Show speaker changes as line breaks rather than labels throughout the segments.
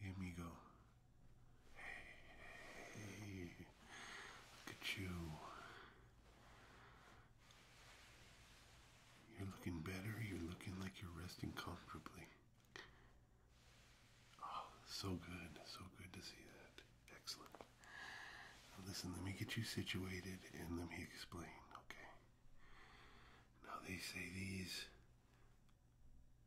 Hey, amigo. Hey, look at you. You're looking better. You're looking like you're resting comfortably. Oh, so good. So good to see that. Excellent. listen, let me get you situated and let me explain, okay? Now, they say these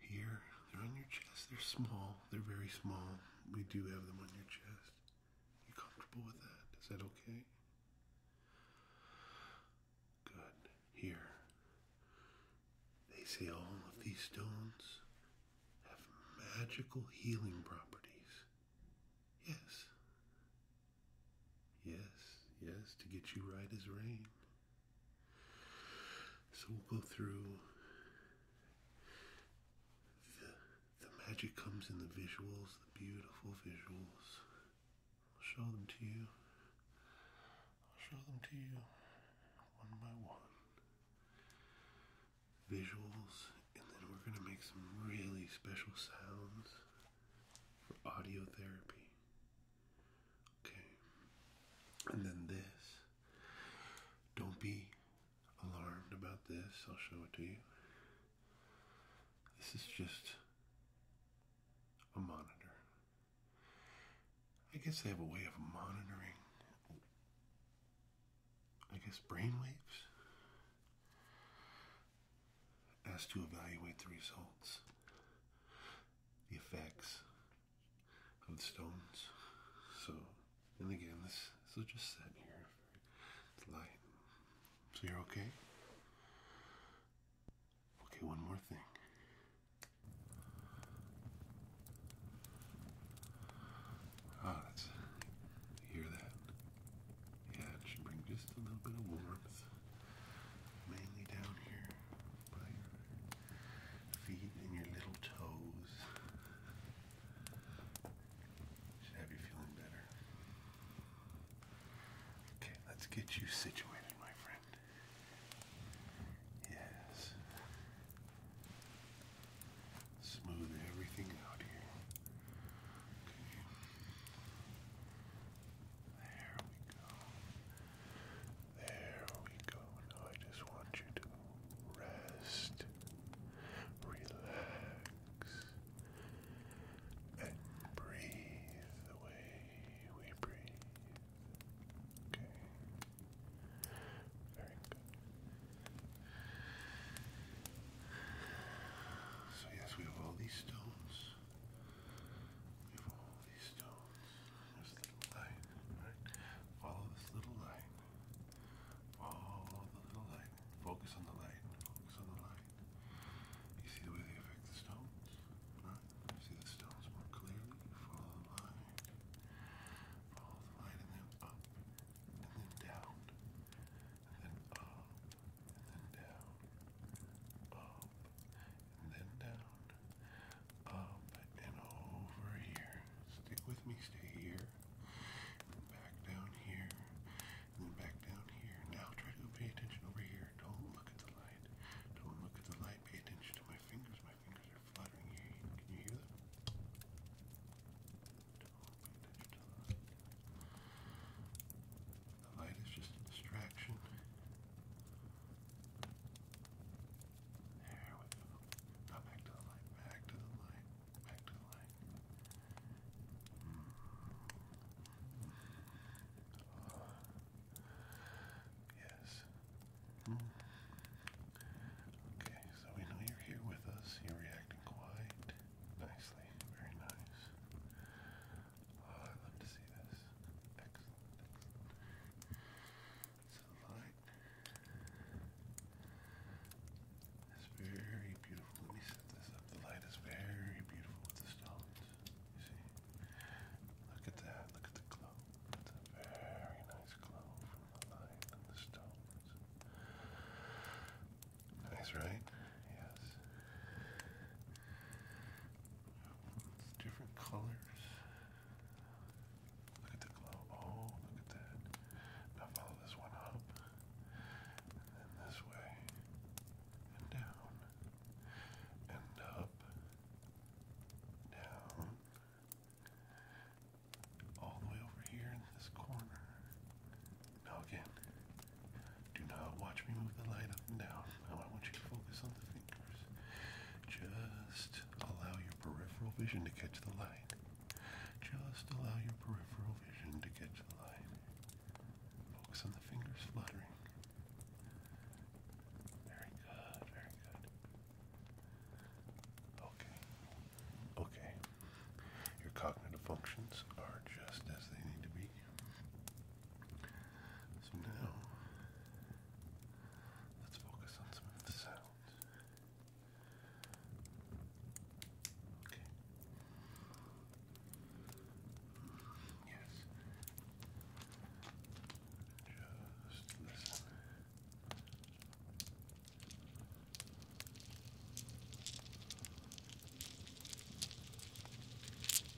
here, they're on your chest. They're small. They're very small. We do have them on your chest. You comfortable with that? Is that okay? Good. Here. They say all of these stones have magical healing properties. Yes. Yes, yes, to get you right as rain. So we'll go through. The, magic comes in the visuals, the beautiful visuals. I'll show them to you. I'll show them to you one by one. Visuals, and then we're going to make some really special sounds for audio therapy. Okay. And then this. Don't be alarmed about this. I'll show it to you. This is just a monitor. I guess they have a way of monitoring, I guess, brainwaves as to evaluate the results the effects of the stones. So, and again, this so just sit here. It's light. So you're okay. Okay, one more thing. Ah, hear that? Yeah, it should bring just a little bit of warmth mainly down here by your feet and your little toes. Should have you feeling better. Okay, let's get you situated, my friend. Yes. Smooth everything out here. There we go. There we go. I just want you to rest, relax, and breathe the way we breathe. Okay. Very good. So yes, we have all these stones. Follow this little light. Follow the little light. Focus on the light. Focus on the light. You see the way they affect the stones, right? You see the stones more clearly. Follow the light. Follow the light, and then up, and then down, and then up, and then down, up, and then down up and um, over here. Stick with me, stay here, back down here, and then back down here. Now try to pay attention over here. Don't look at the light. Don't look at the light. Pay attention to my fingers. My fingers are fluttering here. Can you hear them? the light. The light is just a distraction. There Now back to the light, back to the light, back to the light. Hmm. Yes. Hmm. Okay, so we know you're here with us. You're reacting quite nicely. Very nice. Oh, I love to see this. Excellent, excellent. So light. It's very beautiful. Let me set this up. The light is very beautiful with the stones. You see? Look at that. Look at the glow. It's a very nice glow from the light and the stones. Nice, right? Yes different colors. Look at the glow. Oh, look at that. Now follow this one up. And this way. And down. And up. Down. All the way over here in this corner. Now again. Do not watch me move the light up and down. Now I want you to focus on the fingers. Just allow your peripheral vision to catch the light. Just allow your peripheral vision to catch the light. Focus on the fingers fluttering. Very good, very good. Okay. Okay. Your cognitive functions are just as they need to be. So now Let's focus on some of the sounds. Okay. Yes. Just listen.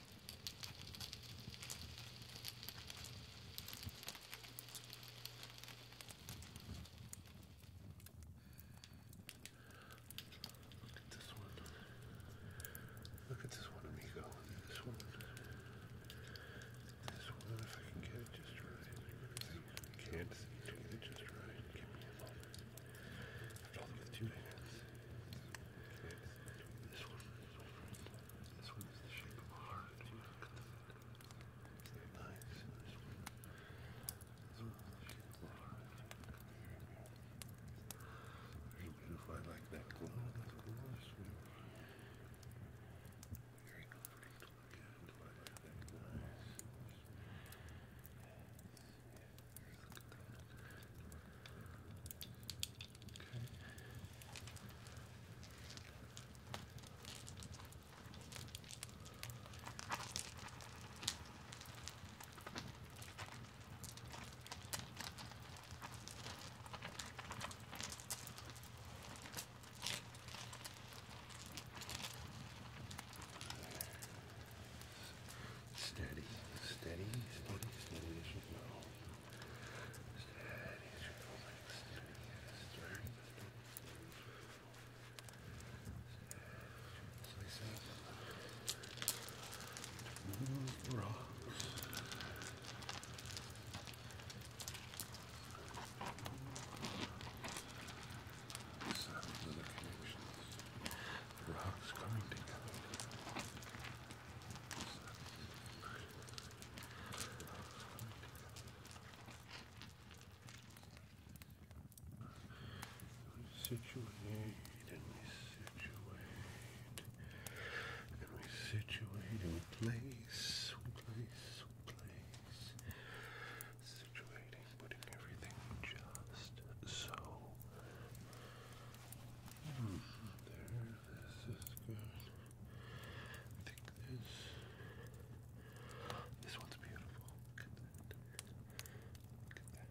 Look at this one. Look at this one, amigo. This one. This one, if I can get it just right. Can't seem to get it just right. Give me a moment. I have to hold it with two hands. Can't this one is different. This one is the shape of a heart. Look at the Isn't that nice? This one. This one is the shape of a heart. Very beautiful. I like that glow. That glow is beautiful. Very comforting to look at. I like that glow. Yes. Yes. Okay. Steady, steady, steady, steady as you go. Sounds of rocks coming together situate and we situate and we situate and we place, we place, we place. Situating, putting everything just so. There, this is good. I think this. This one's beautiful. Look at that. Look at that.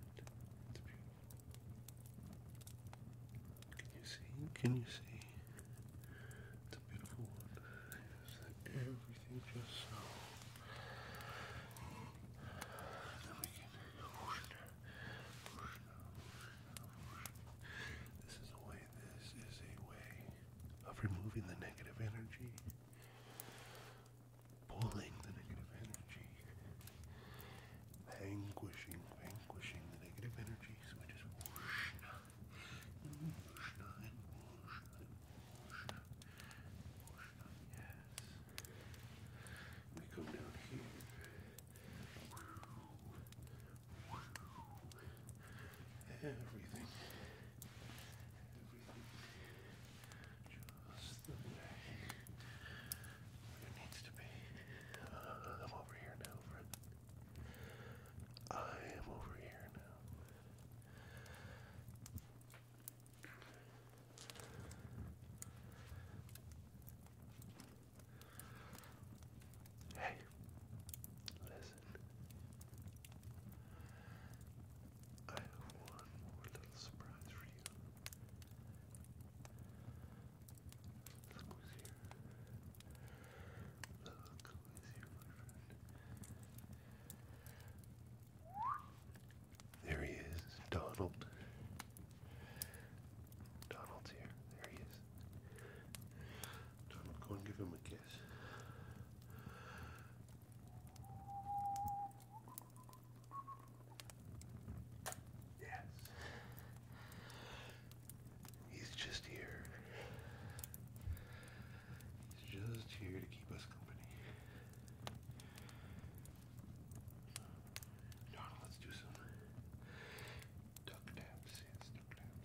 It's beautiful. Can you see? Can you see? It's a beautiful one. Everything just so. Then we can push it, push this is a way, this is a way of removing the negative energy, pulling the negative energy, vanquishing, vanquishing the negative energy. So we just whoosh, and whoosh, and whoosh, and whoosh, whoosh, yes. We come down here. Everything. Everything. Just the way it needs to be. I'm over here now, I am over here now. Hey, listen. I have one more little surprise for you. Look who's here. Look who is here, my friend. There he is, Donald. Donald's here. There he is. Donald, go and give him a kiss. Yes. He's just here. He's just here to keep us company. Donald, let's do some Duck taps, yes, duck taps.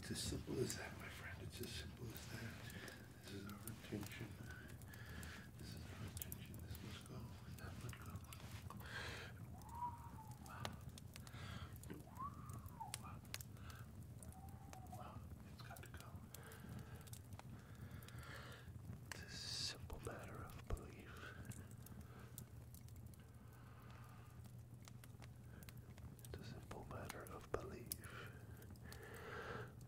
It's as simple as that, my friend. It's as simple as that. This is our intention. This is our intention. This must go. That must go. It's got to go. It's a simple matter of belief. It's a simple matter of belief.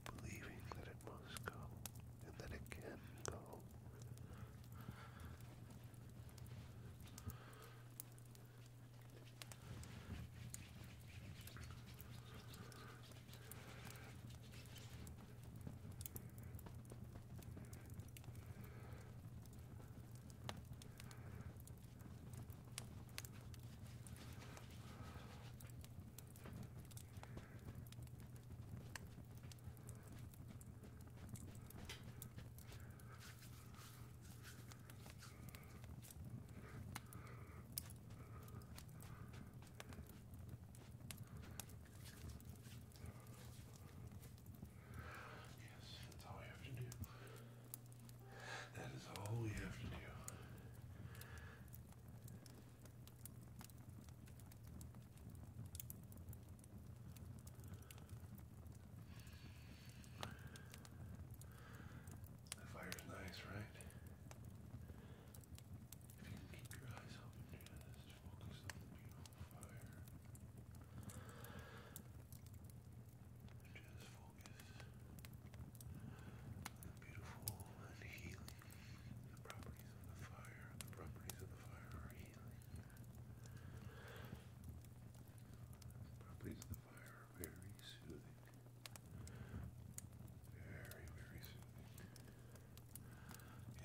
Believing that it must go and that it can go. Yes, that's all we have to do. That is all we have to do. The fire's nice, right? If you keep your eyes open, do this. Focus on the beautiful fire. Just focus the beautiful and healing. properties of the fire. The properties of the fire are healing. The properties of the fire are very soothing. Very, very soothing.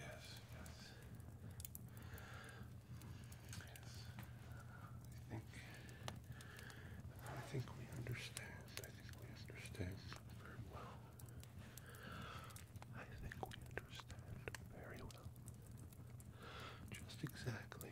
Yes, yes. Yes. I think I think we understand. I think we understand very well. I think we understand very well. Just exactly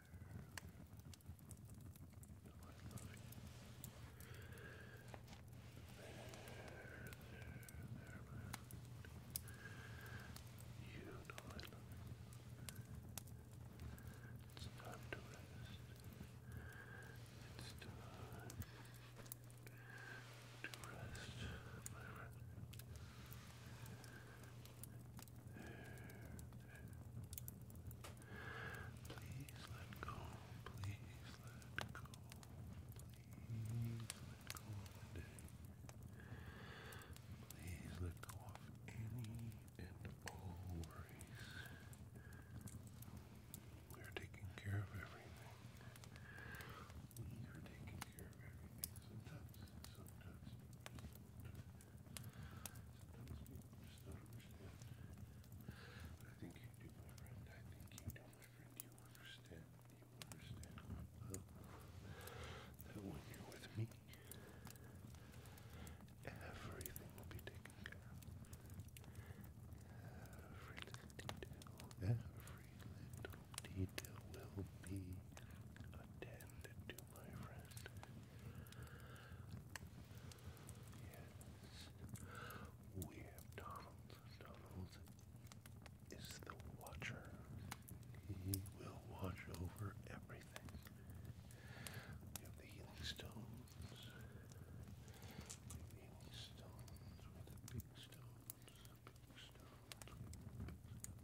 You know I love you. It's time to rest. It's time to rest, my friend. Please let go. Please let go. Please let go Please let go of any and all worries. We are taking care of everything. We are taking care of everything. sometimes, sometimes Sometimes I think you do, my friend. I think you do, my friend. You understand. You understand that when you're with me, everything will be taken care of. Every little detail, every little detail will be attended to, my friend. Yes. We have Donald. Donald is the watcher. He will watch over everything. We have the healing stones. the healing stones. the big stones. Big stones.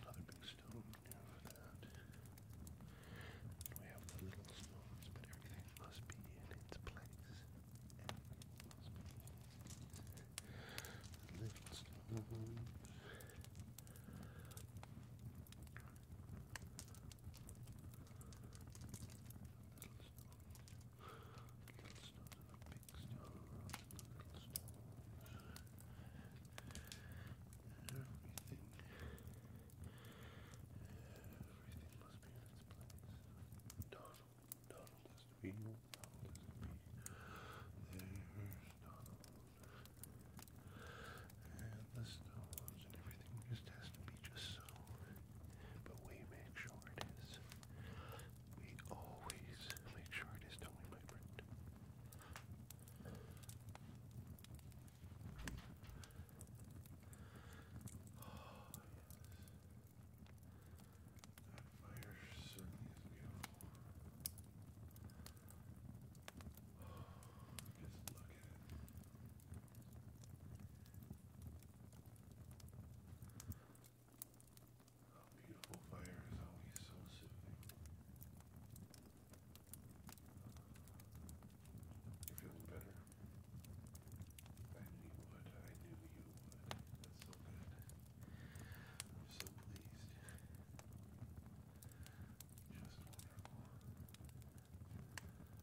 Big stones stone of that. we have the little stones, but everything must be in its place. little stones. Little stones. Little stones big stones. Little stones. Everything. Everything must be in its place. Donald, Donald is real. Donald is me. There's Donald. And the stones and everything just has to be just so. But we make sure it is. We always make sure it is, my friend? Oh, yes. That fire certainly is beautiful. Oh, just look at it. A beautiful fire is always so soothing. You're better? I knew you would. I knew you would. That's so good. so pleased. Just wonderful. just lightly massage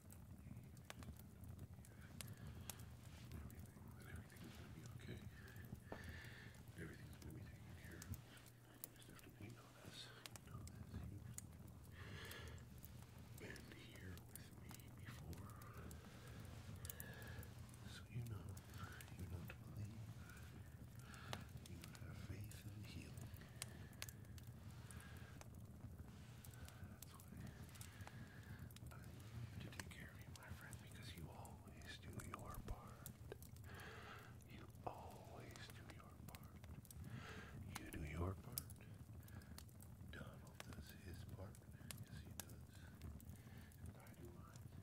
and everything's going to be okay. Everything's going to be taken care You just have to you know know this. You've been here with me before. So you know. You know to believe. You have faith in healing. You take care of me, my friend, because you always do your part. You always do your part. You do your part. Donald does his part. Yes, he does. And I do mine.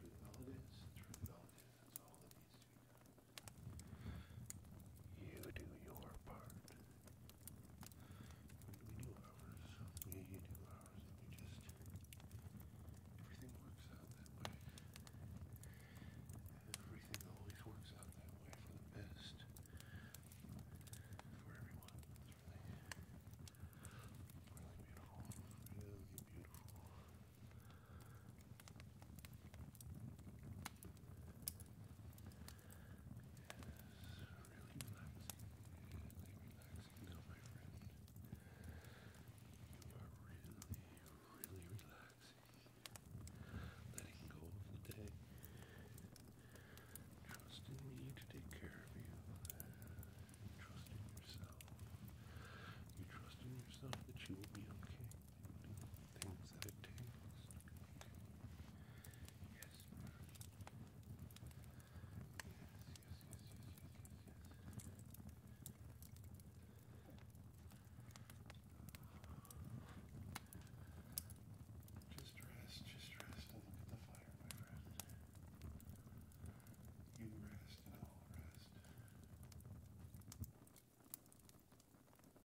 Through all this, through all this, that's all that needs to be done. You do your part. We do ours. We do ours. And we just. Everything works out that way. Everything always works out that way for the best. For everyone. really. Really beautiful. Really beautiful really relaxing, really relaxing now, my friend. You are really, really relaxing. Letting go of the day. Trusting me to take care of you. Trusting yourself. You trust in yourself that you will be okay things that it takes. Yes. Yes, yes, yes, yes, yes, yes, yes. Just rest, just rest and look at the fire, my friend. You rest and I'll rest.